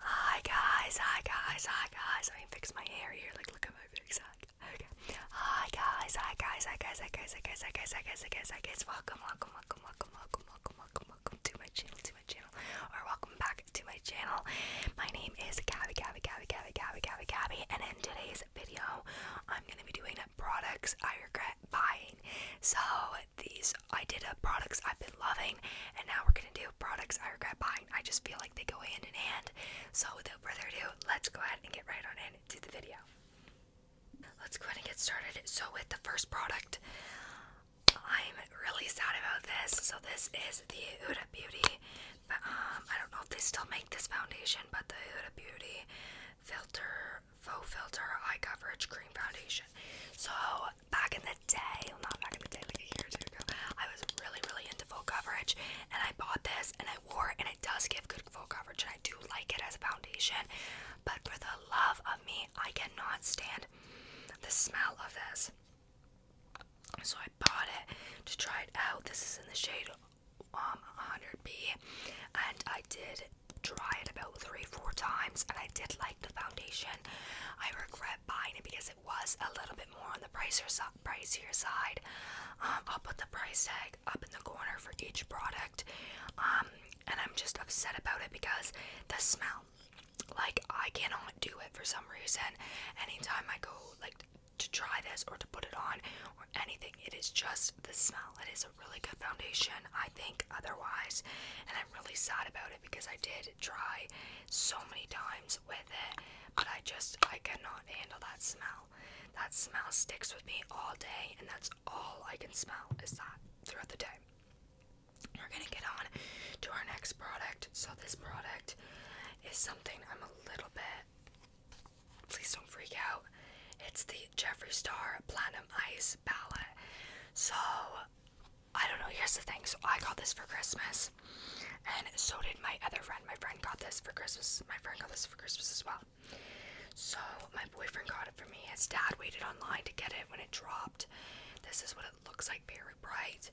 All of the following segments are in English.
Hi guys, hi guys, hi guys. Let me fix my hair here. Like, look at my face. Okay. Hi guys, hi guys, hi guys, hi guys, hi guys, hi guys, hi guys, hi guys, hi guys. Welcome, welcome, welcome, welcome, welcome, welcome, welcome, welcome to my channel, to my channel, or welcome back to my channel. My name is Gabby, Gabby, Gabby, Gabby, Gabby, Gabby, Gabby, and in today's video, I'm gonna be doing products I regret buying. So these I did a products I've been loving, and now we're gonna do products I regret buying. I just feel like they go hand in hand. So without further ado, let's go ahead and get right on in to the video. Let's go ahead and get started. So with the first product, I'm really sad about this. So this is the Uda Beauty. um, I don't know if they still make this foundation, but the Huda Beauty filter faux filter eye coverage cream foundation. So back in the day, not back in the day, like a ago, I was really, really into full coverage and I bought this and I wore it and it does give good full coverage and I do like it as a foundation. But for the love of me, I cannot stand the smell of this. So I bought it to try it out. This is in the shade um 100B and I did try it about three, four times, and I did like the foundation. I regret buying it because it was a little bit more on the pricier, side. Um, I'll put the price tag up in the corner for each product, um, and I'm just upset about it because the smell. Like I cannot do it for some reason. Anytime I go like to try this or to put it on or anything, it is just the smell. that is really good foundation, I think, otherwise. And I'm really sad about it because I did try so many times with it, but I just, I cannot handle that smell. That smell sticks with me all day, and that's all I can smell is that throughout the day. We're gonna get on to our next product. So, this product is something I'm a little bit. Please don't freak out. It's the Jeffree Star Platinum Ice so I don't know, here's the thing. So I got this for Christmas and so did my other friend. My friend got this for Christmas. My friend got this for Christmas as well. So my boyfriend got it for me. His dad waited online to get it when it dropped. This is what it looks like very bright.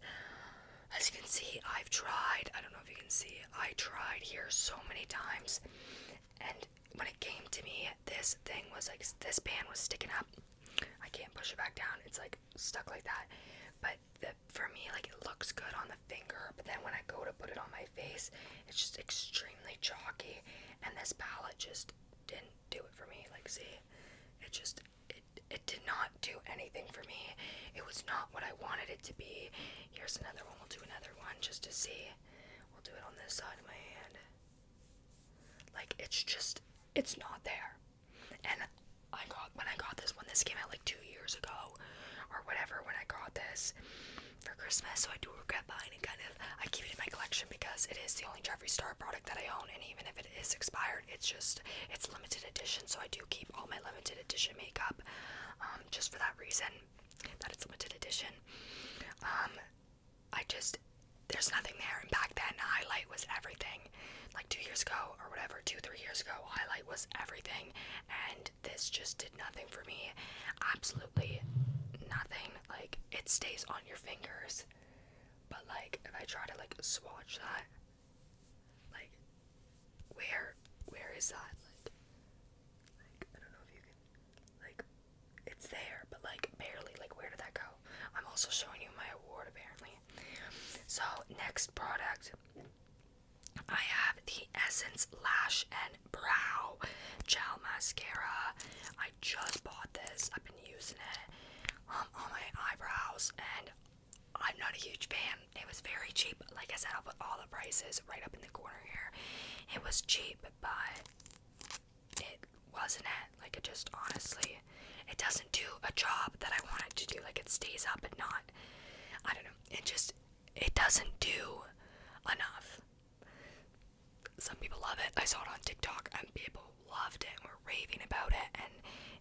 As you can see, I've tried, I don't know if you can see, I tried here so many times and when it came to me, this thing was like this band was sticking up. I can't push it back down. It's like stuck like that. But for me, like it looks good on the finger, but then when I go to put it on my face, it's just extremely chalky. And this palette just didn't do it for me. Like, see, it just it it did not do anything for me. It was not what I wanted it to be. Here's another one. We'll do another one just to see. We'll do it on this side of my hand. Like it's just it's not there. And I got when I got this one, this came out like two years ago or whatever when I got this for Christmas, so I do regret buying it kind of I keep it in my collection because it is the only Jeffree Star product that I own and even if it is expired it's just it's limited edition so I do keep all my limited edition makeup um, just for that reason that it's limited edition. Um, I just there's nothing there. And back then, highlight was everything. Like two years ago or whatever, two three years ago, highlight was everything, and this just did nothing for me. Absolutely nothing. Like it stays on your fingers, but like if I try to like swatch that, like where where is that? Like like, I don't know if you can, like, it's there, but like barely. Like, where did that go? I'm also showing you my award apparently. So, next product. I have the Essence Lash and Brow Gel Mascara. I just bought this. I've been using it um, on my eyebrows, and I'm not a huge fan it was very cheap. Like I said, I'll put all the prices right up in the corner here. It was cheap, but it wasn't it. Like it just honestly, it doesn't do a job that I wanted to do. Like it stays up and not, I don't know. It just, it doesn't do enough. Some people love it. I saw it on TikTok and people loved it and were raving about it and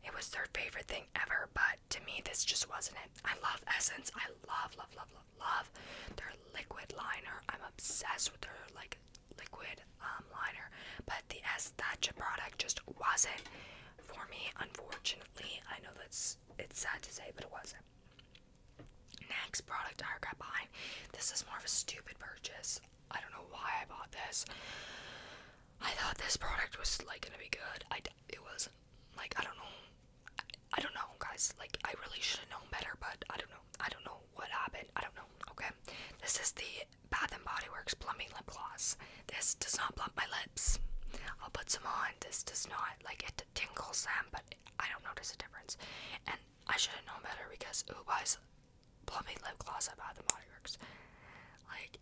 it was their favorite thing ever, but to me this just wasn't it. I love Essence. I love love love love love their liquid liner. I'm obsessed with their like liquid um liner, but the S Thatcha product just wasn't for me unfortunately. I know that's it's sad to say, but it wasn't. Next product I got behind. This is more of a stupid purchase. I don't know why I bought this. I thought this product was like gonna be good. I it was like, I don't know. I, don't know, guys. Like, I really should have known better, but I don't know. I don't know what happened. I don't know. Okay. This is the Bath and Body Works Plumbing Lip Gloss. This does not plump my lips. I'll put some on. This does not. Like, it tingles them, but I don't notice a difference. And I should have known better because who buys plumbing lip gloss at Bath and Body Works? Like,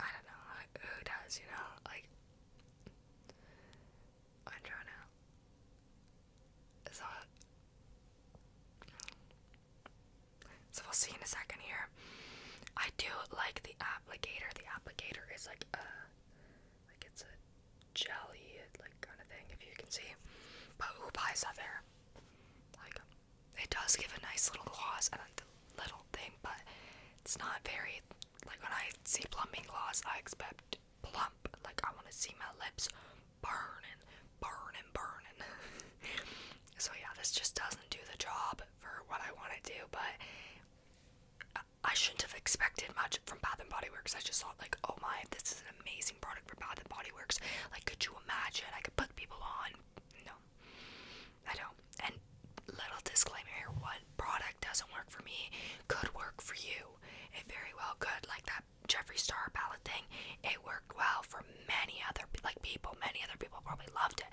I don't know, who does, you know? Like, I'm trying to. So, so we'll see in a second here. I do like the applicator. The applicator is like a, like it's a jelly like kind of thing if you can see. But who buys that there? Like, it does give a nice little gloss and a little thing, but it's not very like when I see plumping gloss, I expect plump. Like I want to see my lips burn and burning, burning, burning. so yeah, this just doesn't do the job for what I want to do, but I shouldn't have expected much from Bath and Body Works. I just thought like, oh my, this is an amazing product for Bath and Body Works. Like, could you imagine? I could put people on. No, I don't. And little disclaimer here: what product doesn't work for me could work for you. It very well could. Like that Jeffree Star palette thing, it worked well for many other like people. Many other people probably loved it.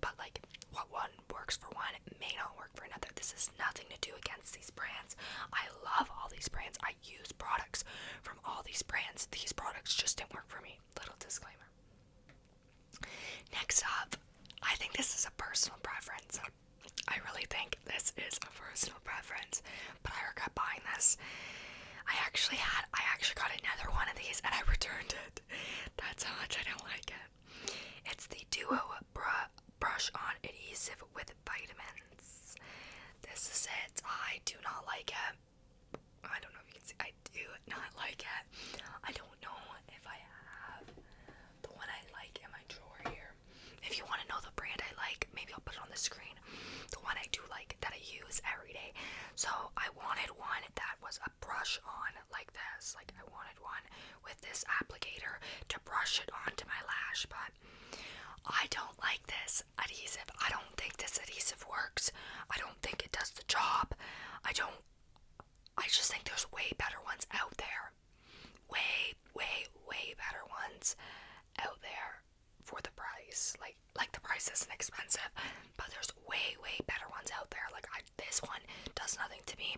But like, what one works for one may not work for another. This is nothing to do against these brands. I love all these brands. I use products from all these brands. These products just didn't work for me. Little disclaimer. Next up, I think this is a personal preference. I really think this is a personal preference, but I regret buying this. I actually had, I actually got another one of these and I returned it. That's how much I don't like it. It's the Duo Brush On Adhesive with vitamins. This is it. I do not like it. I don't know if you can see. I do not like it. I don't know if I have the one I like in my drawer here. If you want to know the brand I like, maybe I'll put it on the screen. The one I do like that I use every day. So I wanted one that was a brush on like this. Like I wanted one with this applicator to brush it onto my lash, but I don't like this adhesive. I don't think this adhesive works. I don't think it does the job. I don't I just think there's way better ones out there. Way, way, way better ones out there for the price. Like like the price isn't expensive, but there's way, way better ones out there. Like this one does nothing to me.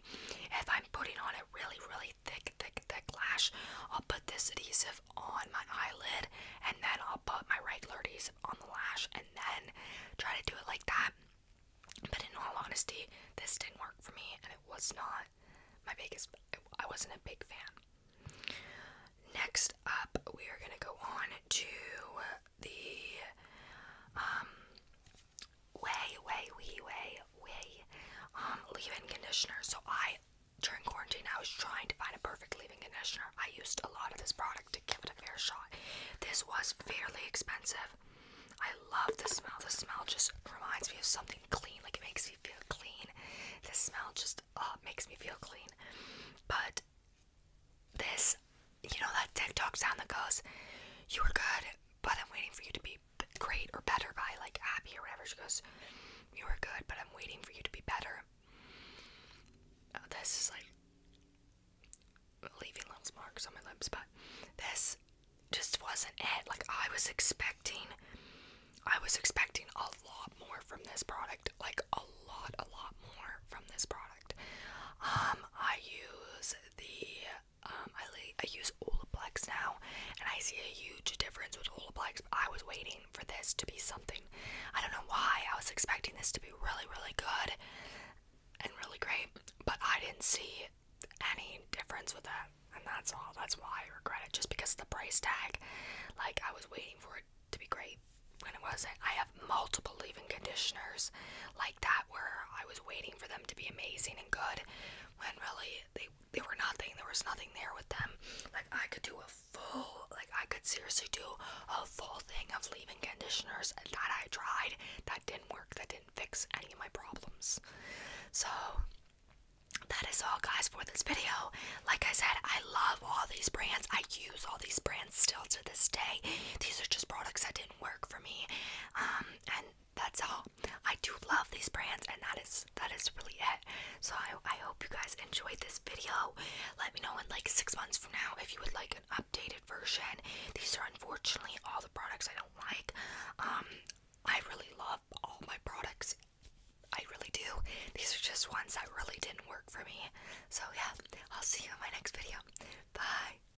If I'm putting on it, really, really really thick, thick, thick lash. I'll put this adhesive on my eyelid and then I'll put my regular adhesive on the lash and then try to do it like that. But in all honesty, this didn't work for me and it was not my biggest, I wasn't a big fan. Next up, we are going to go on to the um, way, way, wee, way way. Um, leave-in conditioner. So I, during quarantine, I was trying to find a perfect leave-in conditioner. I used a lot of this product to give it a fair shot. This was fairly expensive. I love the smell. The smell just reminds me of something clean. Like it makes me feel clean. The smell just uh, makes me feel clean. But this, you know that TikTok sound that goes, "You are good, but I'm waiting for you to be great or better by like Abby or whatever. She goes, You are good, but I'm waiting for you to be better. Uh, this is like leaving little marks on my lips, but this just wasn't it. Like I was expecting I was expecting a lot more from this product. Like a lot, a lot more from this product. Um, I use the um, I, I use Olaplex now, and I see a huge difference with Olaplex. But I was waiting for this to be something. I don't know why. I was expecting this to be really, really good and really great, but I didn't see any difference with that, and that's all. That's why I regret it. Just because of the price tag. Like I was waiting for it to be great when it wasn't. I have multiple leave-in conditioners like that where I was waiting for them to be amazing and good when really they they were nothing. There was nothing there with them. Like I could do a full, like I could seriously do a full thing of leaving conditioners that I tried. That didn't work. That didn't fix any of my problems. So that is all guys for this video. Like I said, I love all these brands. I use all these brands still to this day. These are just products that didn't work for me. Um and that's all. I do love these brands, and that is that is really it. So I I hope you guys enjoyed this video. Let me know in like six months from now if you would like an updated version. These are unfortunately all the products I don't like. Um, I really love all my products. I really do. These are just ones that really didn't work for me. So yeah, I'll see you in my next video. Bye.